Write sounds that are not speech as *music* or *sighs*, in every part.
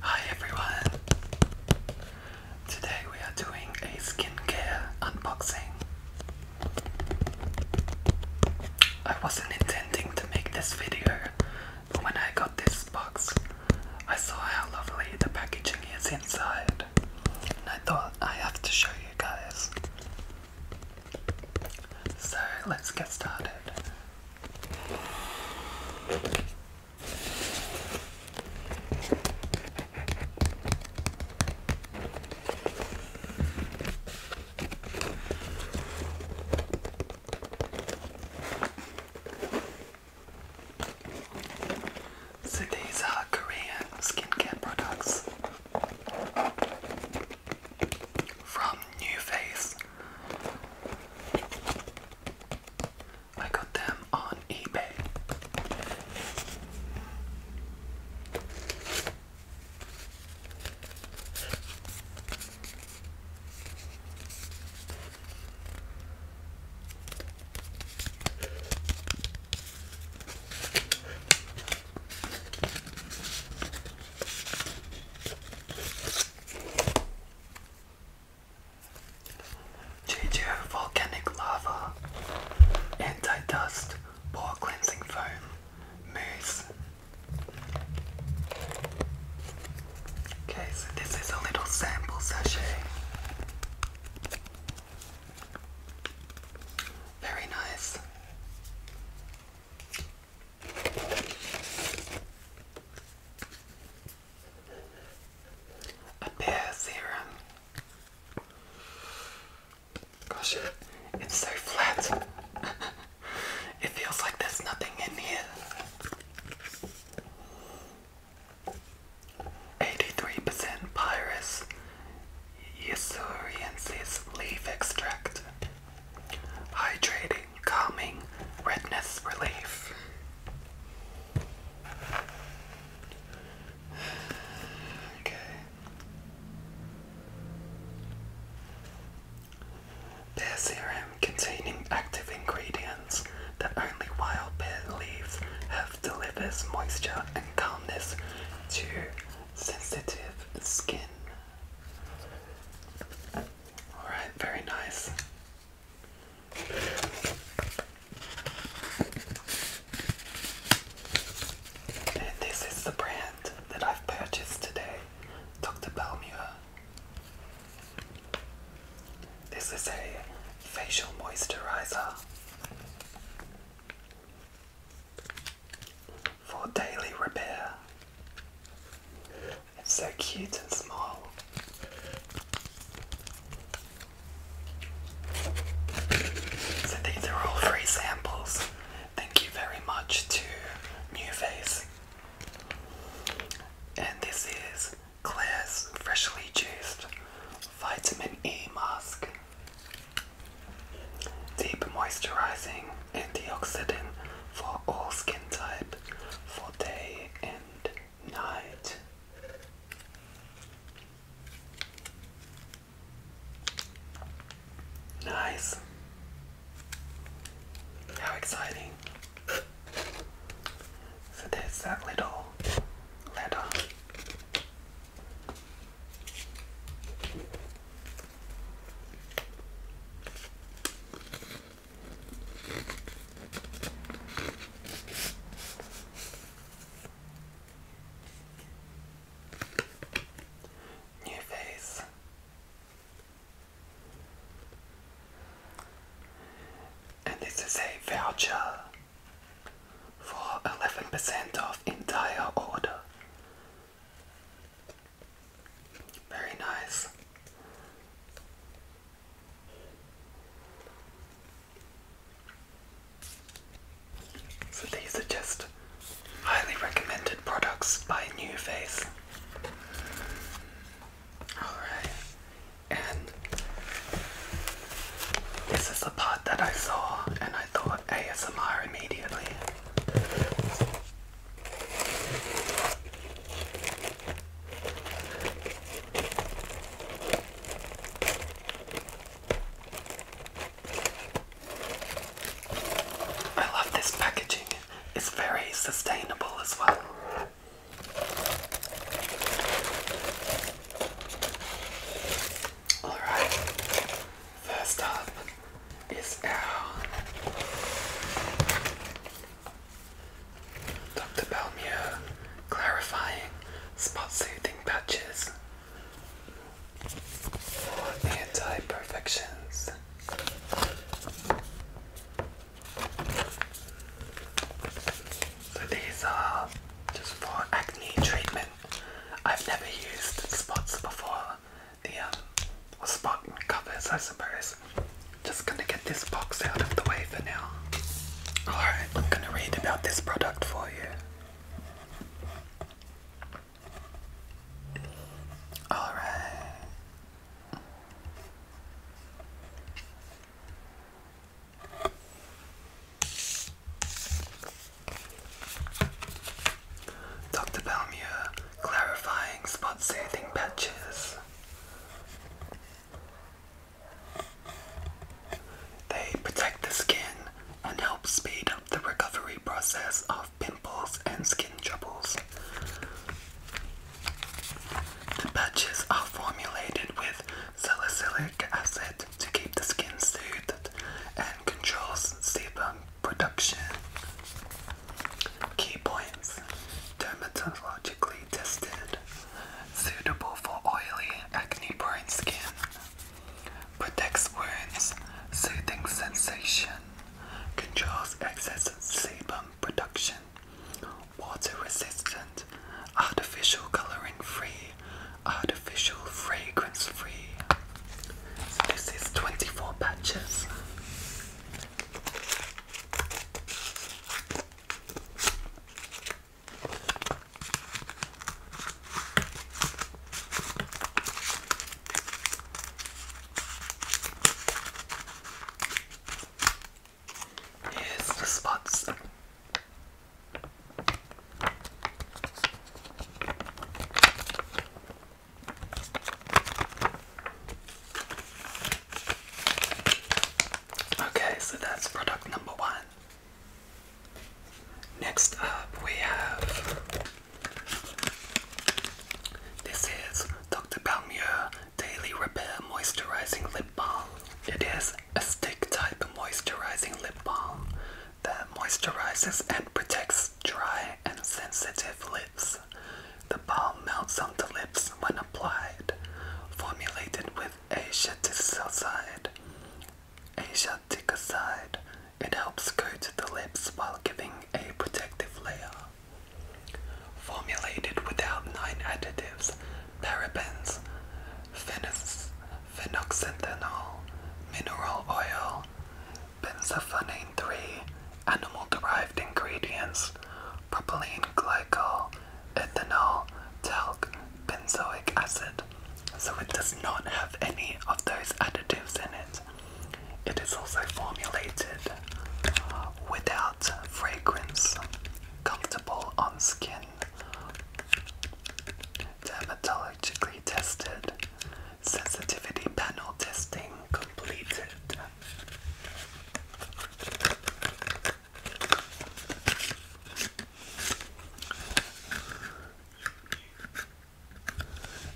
Hi everyone! Today we are doing a skincare unboxing. I wasn't intending to make this video, but when I got this box, I saw how lovely the packaging is inside, and I thought I have to show you guys. So let's get started. So these are Korean skincare products from New Face. I got them on eBay. JJ Volcanic Lava Anti-Dust Pore Cleansing Foam Mousse Okay, so this is a little sample sachet. Very nice. A pear serum. Gosh, it's so flat. *laughs* it feels like there's nothing in here. 83% Pyrus Yusuriensis leaf extract hydrating, calming, redness relief. Okay. Pear serum containing active ingredients that only wild pear leaves have delivers moisture and calmness to sensitive skin. All right, very nice. And this is the brand that I've purchased today, Dr. Balmure. This is a facial moisturizer for daily repair. It's so cute and small. So these are all free samples. Thank you very much to Newface. And this is Claire's Freshly Juiced Vitamin E Mask. Deep moisturizing antioxidant for all skin type for day and night. Nice. How exciting. So there's that little ladder. New face. And this is a voucher for 11% off entire order very nice. So these are just highly recommended products by New Face. Alright, and this is the part that I saw and I thought ASMR immediately. I love this packaging. It's very sustainable as well. Alright, first up is out. Dr. Balmier clarifying spot soothing patches for anti perfections. So these are just for acne treatment. I've never used spots before, the um, uh, Spartan covers, I suppose. Just gonna get this box out of the way for now. Alright, I'm gonna read about this product for you. Alright. Dr. Bellmire, clarifying spot soothing patches. They protect the skin and help speed up the recovery process of pimples and skin troubles. The patches are formulated with salicylic acid to keep the skin soothed and controls sebum production. Key points dermatologically tested, suitable for oily, acne prone skin, protects wounds, soothing sensation, controls excess sebum production, water resistant, artificial coloring free, artificial fragrance free. this is 24 patches. Here's the spots. Okay, so that's product number one. Next up, we have this is Dr. Balmier Daily Repair Moisturizing Lip Balm. It is a stick type moisturizing lip balm that moisturizes and protects dry and sensitive lips. The balm melts on the lips when applied. Formulated with asiaticide, asiaticide, it helps coat the lips while giving a protective layer. Formulated without nine additives, parabens, phenoxyethanol, mineral oil, Benzophenane 3, animal derived ingredients, propylene glycol, ethanol, talc, benzoic acid. So it does not have any of those additives in it. It is also formulated without fragrance, comfortable on skin, dermatologically tested, Sensitivity panel testing completed.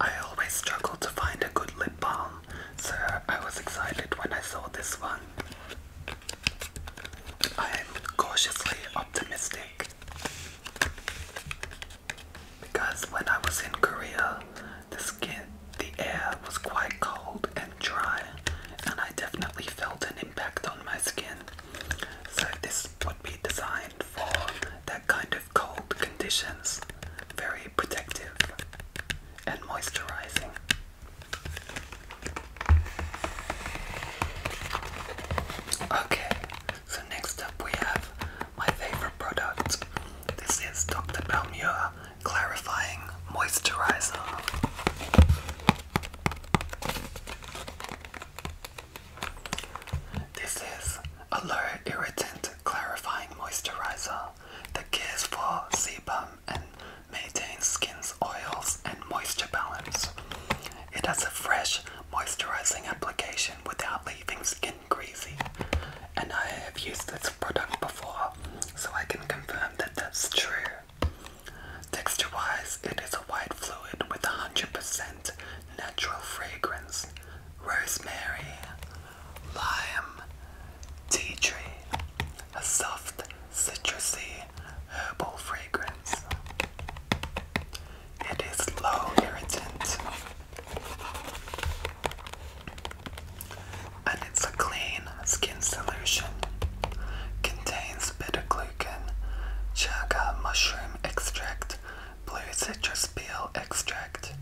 I always struggle to find a good lip balm, so I was excited when I saw this one. I am cautiously optimistic because when I was in Korea, the skin, the air was quite cold and dry, and I definitely felt an impact on my skin. So, this would be designed for that kind of cold conditions. Very protective and moisturizing. Okay, so next up we have my favorite product. This is Dr. Balmure Clarifying Moisturizer. This is a low irritant clarifying moisturizer that cares for sebum and maintains skin's oils and moisture balance. It has a fresh moisturizing application without leaving skin greasy. And I have used this product before, so I can confirm that that's true. Texture wise, it is a white fluid with 100% natural fragrance, rosemary, lime, tea tree, a soft, citrusy, herbal fragrance. It is low irritant, and it's a clean skin solution. Contains beta-glucan, chaga mushroom extract, blue citrus peel extract.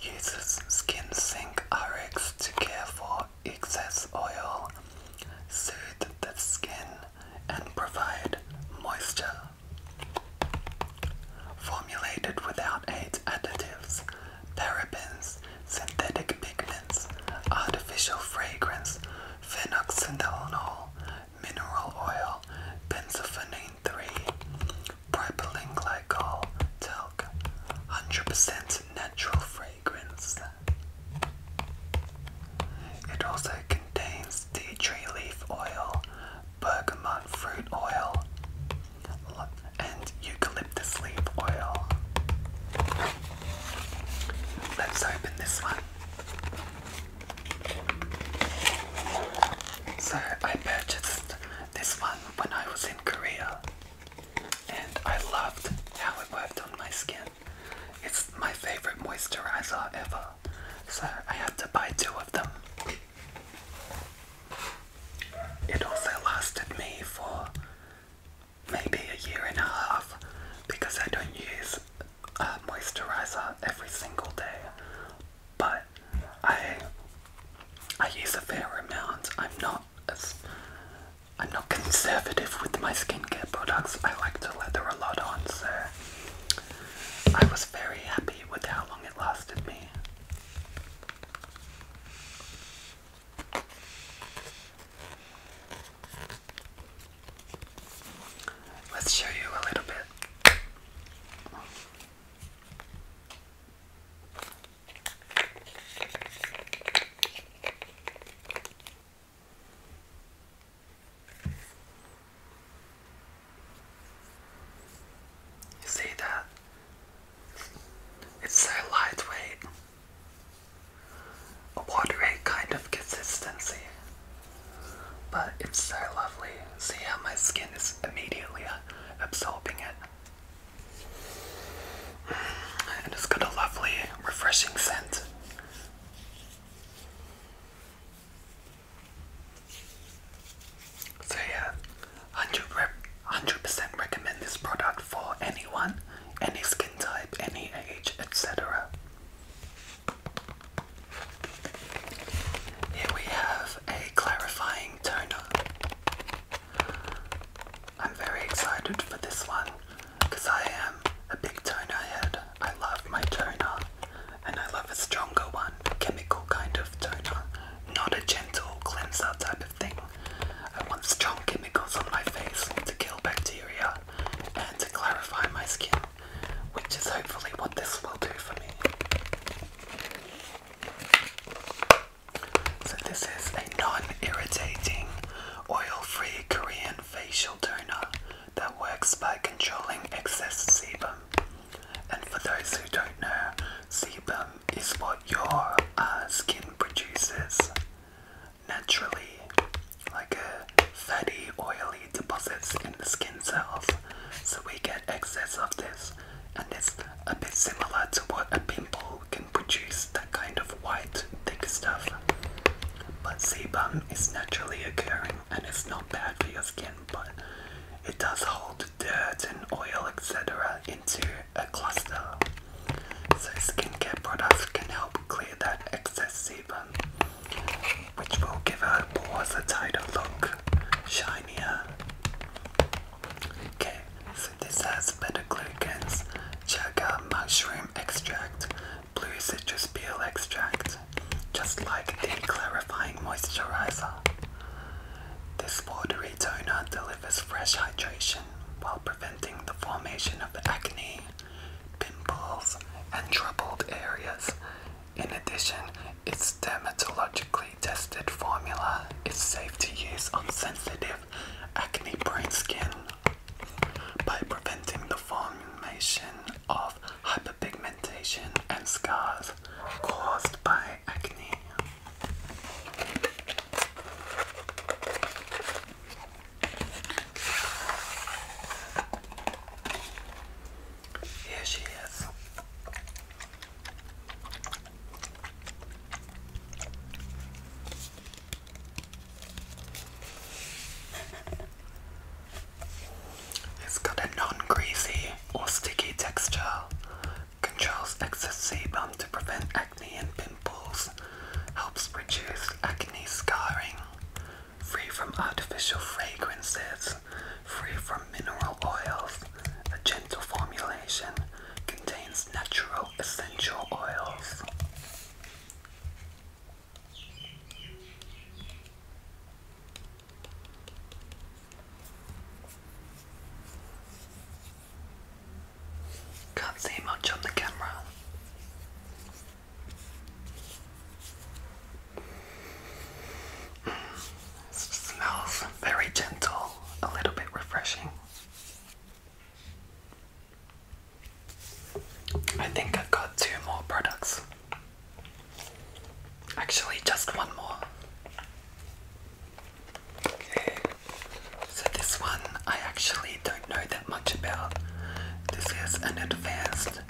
Uses Skin Sink RX to care for excess oil, soothe the skin, and provide moisture. Formulated without a additives, parabens, synthetic pigments, artificial fragrance, phenoxydinol, mineral oil, benzophenone 3, propylene glycol, talc, 100% natural fragrance. It also contains tea tree leaf oil, bergamot fruit oil, and eucalyptus leaf oil. Let's open this one. So, I purchased this one when I was in Korea, and I loved how it worked on my skin. It's my favorite moisturizer ever, so I had to buy two of them. It also lasted me for maybe a year and a half because I don't use a uh, moisturizer every single day, but I I use a fair amount. I'm not as I'm not conservative with my skincare products. I like to leather a lot on, so I was very happy with how long it lasted me. Let's show you a little bit. You see that? It's so lightweight, a watery kind of consistency, but it's so lovely. See how my skin is immediately uh, absorbing it, and it's got a lovely, refreshing scent. So yeah, 100% recommend this product for anyone, any skin type, any age, etc. Here we have a clarifying toner. I'm very excited for this one because I am a big toner head. I love my toner and I love a stronger one, chemical kind of toner, not a gentle cleanser type of thing. I want strong chemicals on my face to kill bacteria and to clarify my skin, which is hopefully what this will do for me. So this is a non-irritating, oil-free Korean facial toner that works by controlling excess sebum. And for those who don't know, sebum is what your uh, skin produces naturally, like a fatty, oily deposits in the skin cells. So we get excess of this, and it's a bit similar to what a pimple can produce that kind of white, thick stuff. But sebum is naturally occurring and it's not bad for your skin, but it does hold dirt and oil, etc., into a cluster. So skincare products can help clear that excess sebum, which will give our pores a tighter look, shinier. Okay, so this has beta-glucans, chaga mushroom extract, blue citrus peel extract, just like the clarifying moisturizer. This watery Daytona delivers fresh hydration while preventing the formation of acne, pimples, and troubled areas. In addition, its dermatologically tested formula is safe to use on sensitive, acne prone skin by preventing the formation of hyperpigmentation and scars caused by acne. Here she is. It's got a non greasy or sticky texture, Controls excess sebum to prevent acne and pimples. Helps reduce acne scarring. Free from artificial fragrances. Free from mineral oils. A gentle formulation contains natural essential oils. Can't see much on the camera. smells very gentle, a little bit refreshing. I think I've got two more products. Actually, just one more. So this one I actually don't know that much about. This is an advanced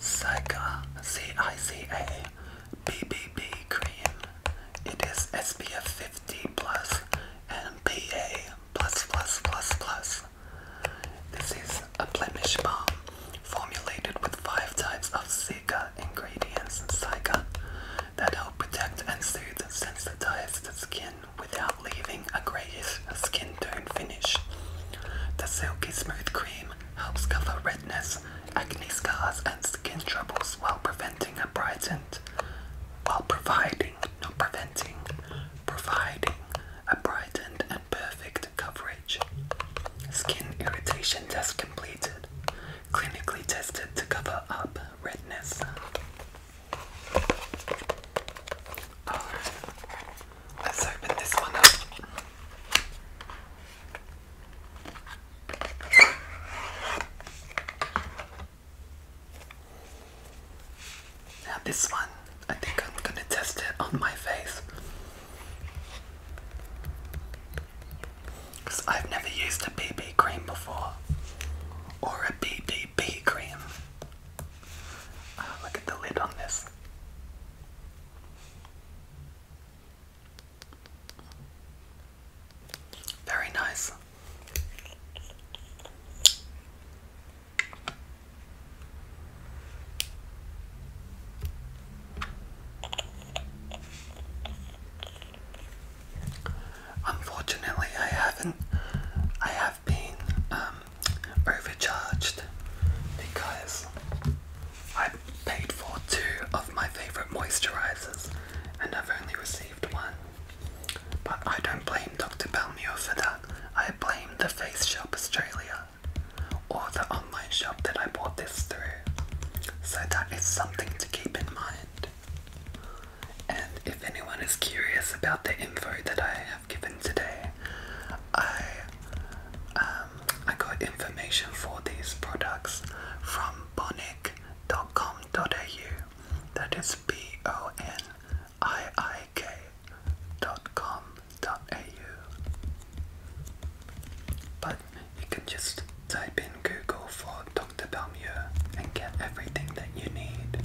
Cica C-I-C-A BBB cream. It is SPF 50 plus and PA plus plus plus plus. This is a blemish balm formulated with five types of Cica ingredients. Cica that help protect and soothe sensitized skin without leaving a grayish skin tone finish. The silky smooth cream helps cover redness, acne scars, and skin troubles while preventing a brightened, while providing, not preventing, providing a brightened and perfect coverage. Skin irritation test completed, clinically tested to cover up redness. let's open this one up. Now, this one, I think I'm gonna test it on my face. Because I've never used a BB cream before. Or a BBB cream. Ah, look at the lid on this. Very nice. Unfortunately, I haven't. I have been um, overcharged because I have paid for two of my favorite moisturizers and I've only received one. But I don't blame Dr. Bellmire for that. I blame the Face Shop Australia or the online shop that I bought this through. So that is something to keep in mind. And if anyone is curious about the info that I have given today, I um, I got information for these products from bonic.com.au. That is B O N I I K dot com dot au. But you can just type in Google for to Balmieux and get everything that you need.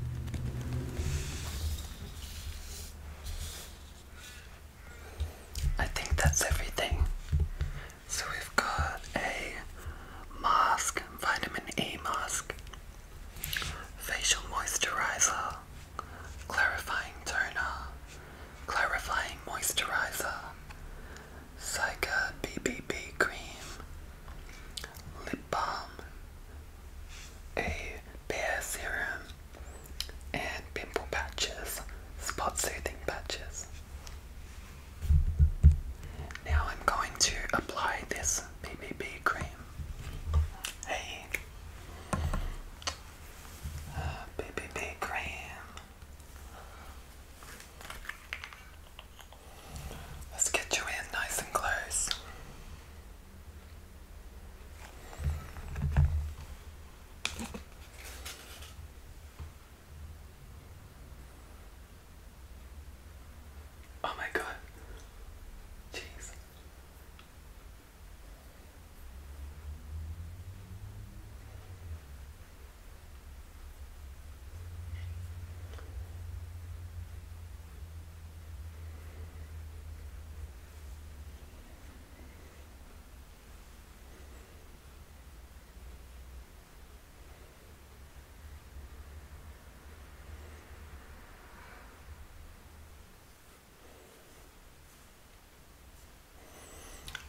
I think that's everything. So we've got a mask, vitamin A mask, facial moisturizer, clarifying toner, clarifying moisturizer, Psyche BBB cream, lip balm, a pear serum, and pimple patches, spot soothing patches. Now I'm going to apply this BBB cream. Hey, uh, BBB cream. Let's get you in nice and close. Oh my god. Jeez.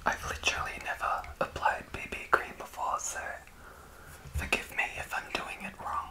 I've literally never applied BB cream before, so Forgive me if I'm doing it wrong.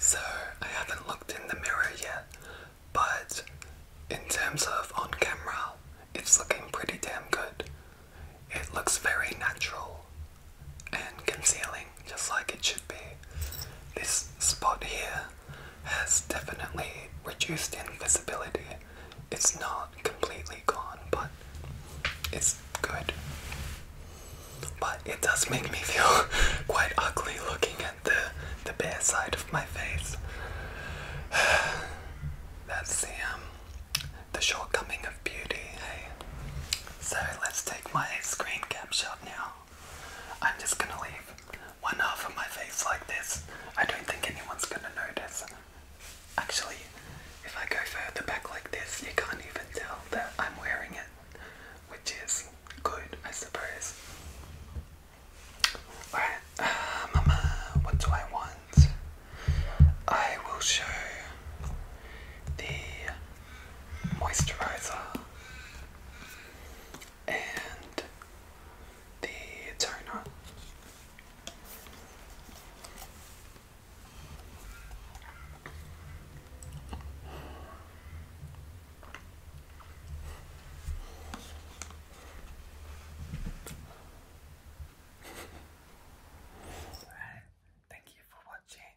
So, I haven't looked in the mirror yet, but in terms of on camera, it's looking pretty damn good. It looks very natural and concealing, just like it should be. This spot here has definitely reduced invisibility. It's not completely gone, but it's good. But it does make me feel *laughs* quite ugly looking at the the bare side of my face. *sighs* That's the the shortcoming of beauty, hey? So let's take my screen cap now. I'm just gonna leave one half of my face like this. I don't think anyone's gonna notice. Actually, if I go further back like this, you can't even tell that I'm wearing it, which is good, I suppose. Alright, uh, mama, what do I want? I will show the moisturizer and the toner. Alright, thank you for watching.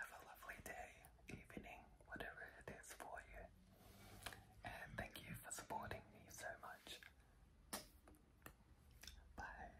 Have a lovely day, evening, whatever it is for you. And thank you for supporting me so much. Bye.